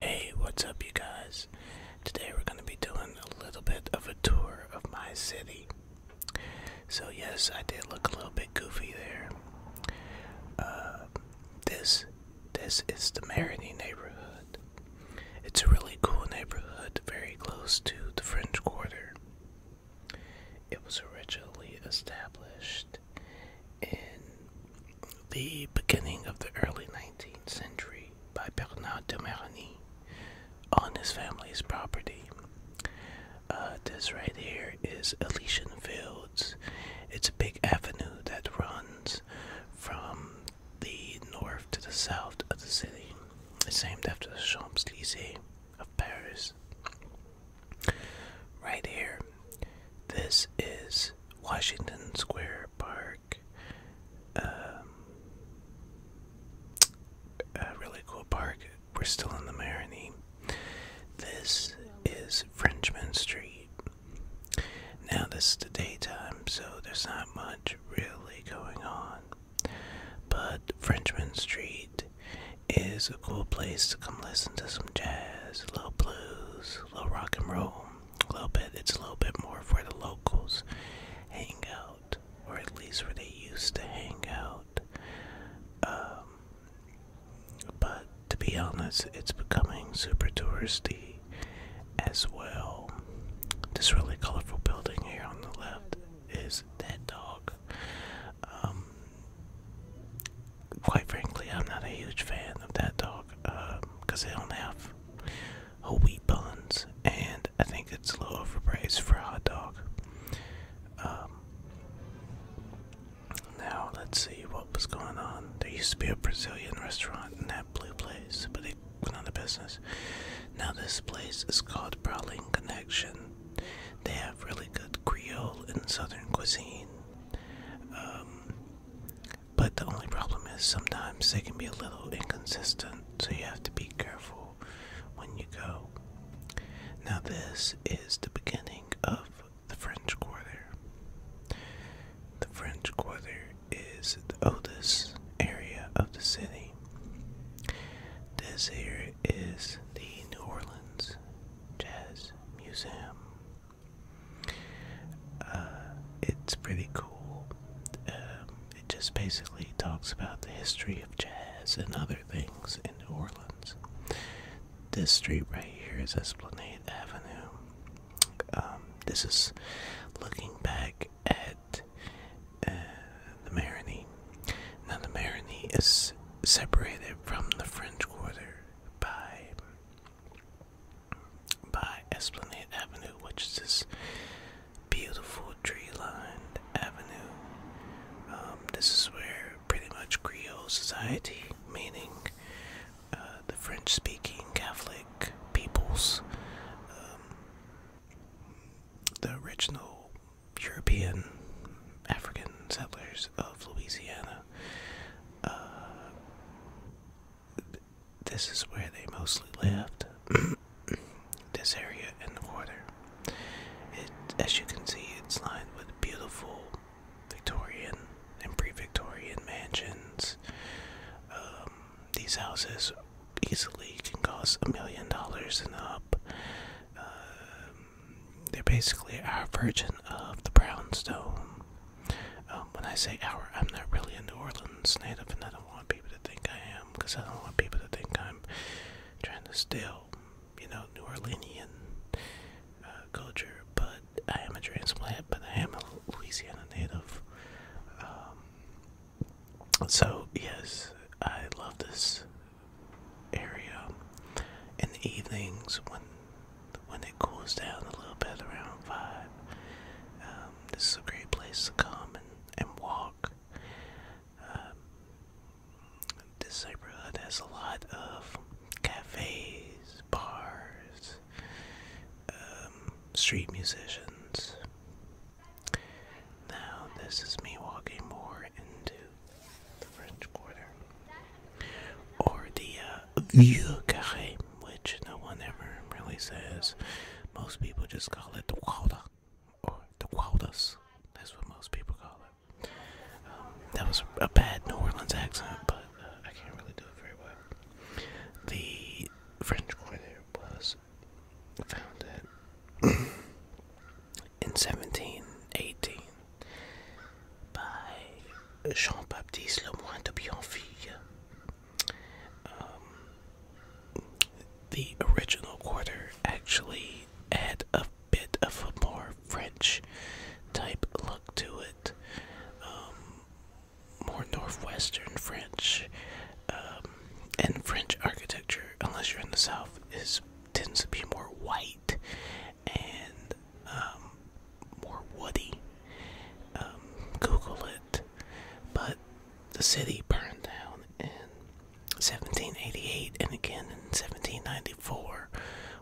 Hey, what's up, you guys? Today we're going to be doing a little bit of a tour of my city. So, yes, I did look a little bit goofy there. Uh, this, this is the Marigny neighborhood. It's a really cool neighborhood, very close to the French Quarter. It was originally established in the beginning of the early 19th century by Bernard de Marigny on his family's property. Uh, this right here is Elysian Fields. It's a big avenue that runs from the north to the south of the city. It's named after the Champs Elysees of Paris. Right here this is Washington Square Park. Um, a really cool park. We're still in the Marigny. This is Frenchman Street. Now, this is the daytime, so there's not much really going on. But Frenchman Street is a cool place to come listen to some jazz, a little blues, a little rock and roll a little bit it's a little bit more for the locals hang out or at least where they used to hang out um, but to be honest it's becoming super touristy as well this really colorful building here on the left is that dog um, quite frankly, I'm not a huge fan of that dog because um, they don't have whole wheat buns, and I think it's a little overpriced for a hot dog. Um, now, let's see what was going on. There used to be a Brazilian restaurant in that blue place, but they went out of business. Now, this place is called Prowling Connection. They have really good Creole and Southern cuisine. Um, but the only problem is sometimes they can be a little inconsistent, so you have to be careful when you go. Now, this is the beginning of the French Quarter. The French Quarter is the oldest area of the city. This here is the New Orleans Jazz Museum. Uh, it's pretty cool. Um, it just basically talks about the history of jazz and other things in New Orleans. This street right here is Esplanade Avenue. Um, this is looking back at uh, the Marigny. Now, the Marigny is separated from the French Quarter by by Esplanade Avenue, which is this beautiful tree-lined avenue. Um, this is where pretty much Creole society, meaning uh, the French-speaking Catholic peoples, um, the original European African settlers of Louisiana. Uh, this is where they mostly lived. this area and the quarter. as you can see, it's lined with beautiful Victorian and pre-Victorian mansions. Um, these houses easily can cost a million dollars and up. Uh, they're basically our version of the brownstone. Um, when I say our, I'm not really a New Orleans native, and I don't want people to think I am, because I don't want people to think I'm trying to steal, you know, New Orleanian uh, culture. But I am a transplant, but I am a Louisiana native. Um, so yes, I love this area in the evenings when when it cools down a little bit around five. Um, this is a great place to come and, and walk. Um, this neighborhood has a lot of cafes, bars, um, street musicians. Now, this is me walking more into the French Quarter, or the uh, Carré, which no one ever really says. Most people just call it the Gualda, or the Gualdas. That's what most people call it. Um, that was a bad New Orleans accent, but uh, I can't really do it very well. The French Quarter was founded in 1718 by Jean-Baptiste Le Lemoine de Bionville. Um, the original quarter actually had a bit of a more French type look to it, um, more northwestern French, um, and French architecture, unless you're in the south, is tends to be more white and um, more woody. Um, Google it. But the city burned down in 1788 and again in 1794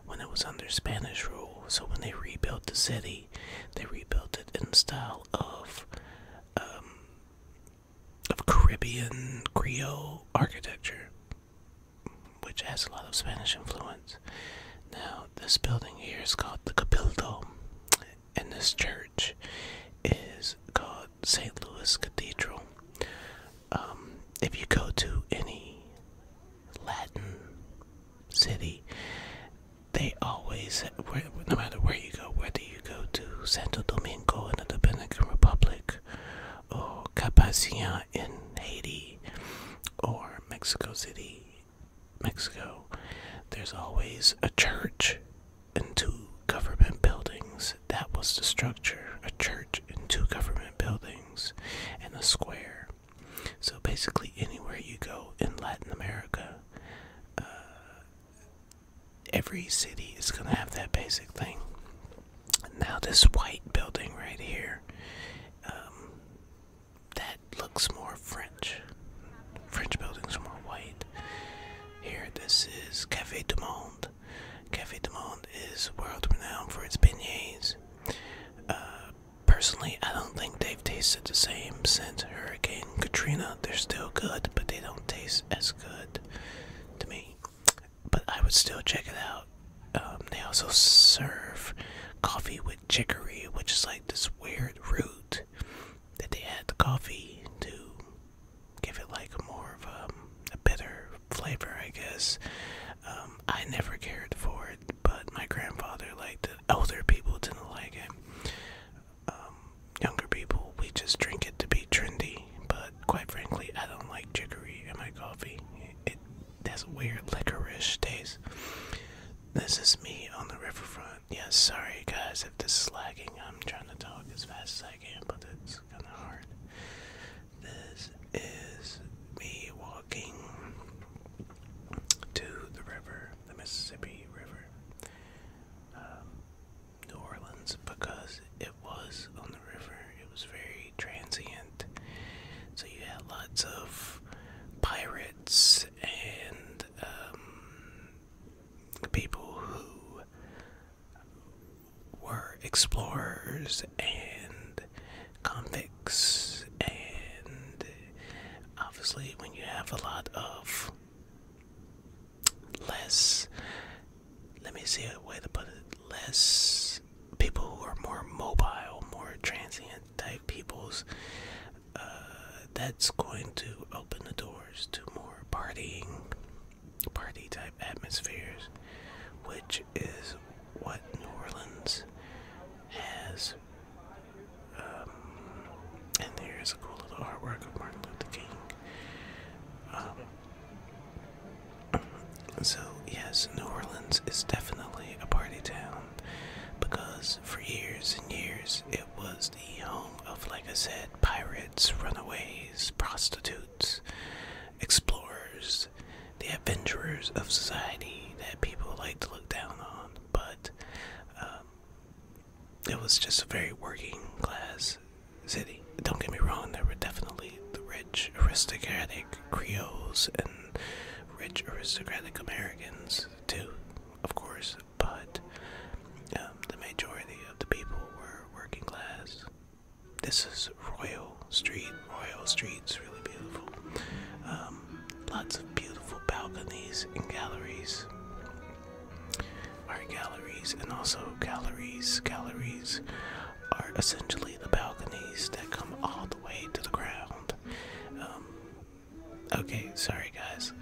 when it was under Spanish rule. So when they rebuilt the city, they rebuilt it in the style of um, of Caribbean Creole architecture which has a lot of Spanish influence. Now, this building here is called the Capildo, and this church is called St. Louis Cathedral. Um, if you go to any Latin city, they always, no matter where you go, whether you go to Santo Domingo in the Dominican Republic or Capacian in Haiti or Mexico City, Mexico. There's always a church and two government buildings. That was the structure a church and two government buildings and a square. So basically, anywhere you go in Latin America, uh, every city is going to have that basic thing. Now, this white building right here, um, that looks more French. French buildings are more white. Here, this is Cafe du Monde. Cafe du Monde is world renowned for its beignets. Uh, personally, I don't think they've tasted the same since Hurricane Katrina. They're still good, but they don't taste as good to me but I would still check it out. Um, they also serve coffee with chicory, which is like this weird root that they add to coffee to give it like more of a, um, a bitter flavor, I guess. Um, I never cared for it, but my grandfather liked it. Older people didn't like it. younger people, we just drink it to be trendy but quite frankly, I don't like chicory in my coffee. It, has a weird licorice taste. This is me on the riverfront. Yeah, sorry guys if this is lagging. I'm trying to talk as fast as I can, but it's kind of hard. This is me walking to the river, the Mississippi River. Um, New Orleans because it was on the river. It was very transient. So you had lots of pirates and um, people who were explorers and convicts. And obviously, when you have a lot of less let me see a way to put it less people who are more mobile more transient type peoples uh, that's going to open the doors to more partying party type atmospheres which is what New Orleans has um, and there's a cool little artwork of Martin Luther King um, so, yes, New Orleans is definitely a party town because for years and years it was the home of, like I said, pirates, runaways, prostitutes, explorers, the adventurers of society that people like to look down on. But um, it was just a very working class city. Don't get me wrong, there were definitely the rich aristocratic Creoles and rich aristocratic Americans too, of course, but um, the majority of the people were working class. This is Royal Street. Royal Street's really beautiful. Um, lots of beautiful balconies and galleries. Our galleries and also galleries, galleries are essentially the balconies that come all the way to the ground. Um, okay, sorry guys.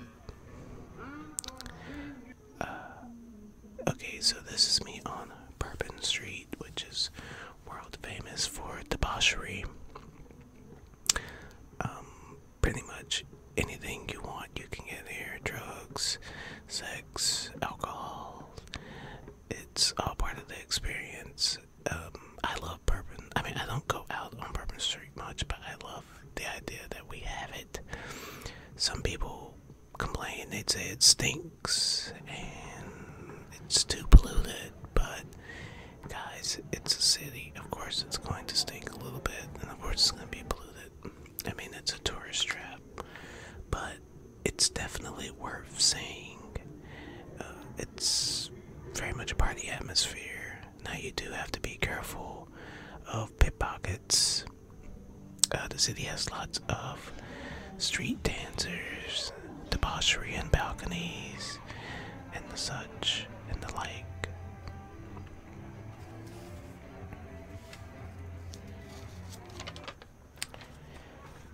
Uh, okay, so this is me on Bourbon Street, which is world famous for debauchery. Um, pretty much anything you want you can get here drugs, sex, alcohol. It's all part of the experience. Um, I love bourbon. I mean, I don't go out on Bourbon Street much, but I love the idea that we have it. Some people complain, they'd say it stinks and it's too polluted, but guys, it's a city. Of course, it's going to stink a little bit, and of course, it's going to be polluted. I mean, it's a tourist trap, but it's definitely worth seeing. Uh, it's very much a party atmosphere. Now, you do have to be careful of pickpockets. Uh, the city has lots of street dancers, debauchery, and balconies, and the such, and the like.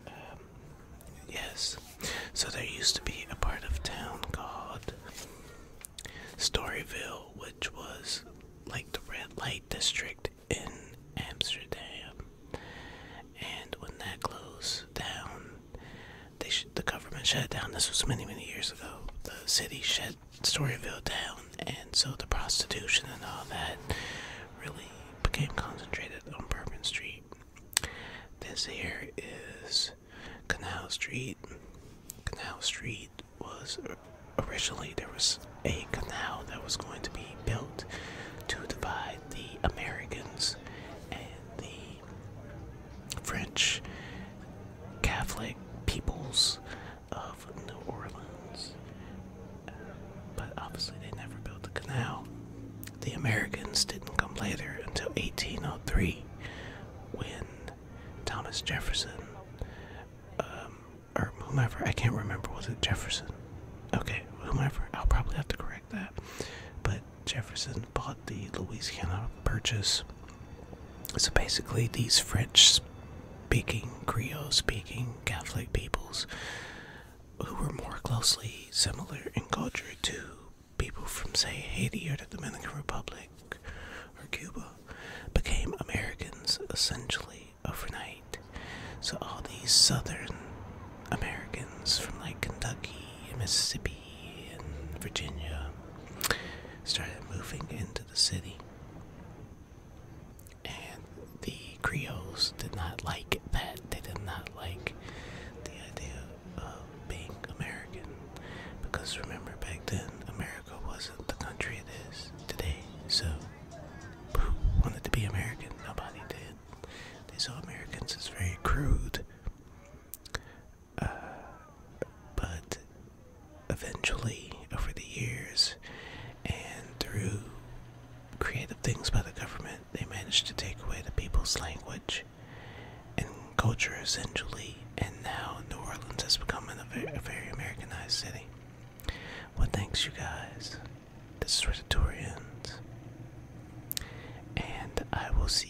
Um, yes, so there used to be a part of town called Storyville, which was like the red light district in Amsterdam. And when that closed down, they the government shut down. This was many, many years ago. The city shut Storyville down, and so the prostitution and all that really became concentrated on Bourbon Street. This here is Canal Street. Canal Street was originally there was a canal that was going to be built to divide the Americans and the French Catholic peoples of New Orleans. but obviously, they never built the canal. The Americans didn't come later until 1803 when Thomas Jefferson, um, or whomever, I can't remember, was it Jefferson? Okay, whomever, I'll probably have to correct that. But Jefferson bought the Louisiana Purchase. So basically, these French speaking, Creole speaking Catholic peoples who were more closely similar in culture to people from, say, Haiti or the Dominican Republic or Cuba became Americans essentially overnight. So all these southern Americans from like Kentucky Mississippi in Virginia started moving into the city. And the Creoles did not like that. They did not like the idea of being American. Because remember, back then, America wasn't the country it is today. So, wanted to be American? Nobody did. They saw Americans as very crude, but eventually, over the years, and through creative things by the government, they managed to take away the people's language and culture essentially, and now New Orleans has become a very, Americanized city. Well, thanks, you guys. This is Ritatorians, and I will see.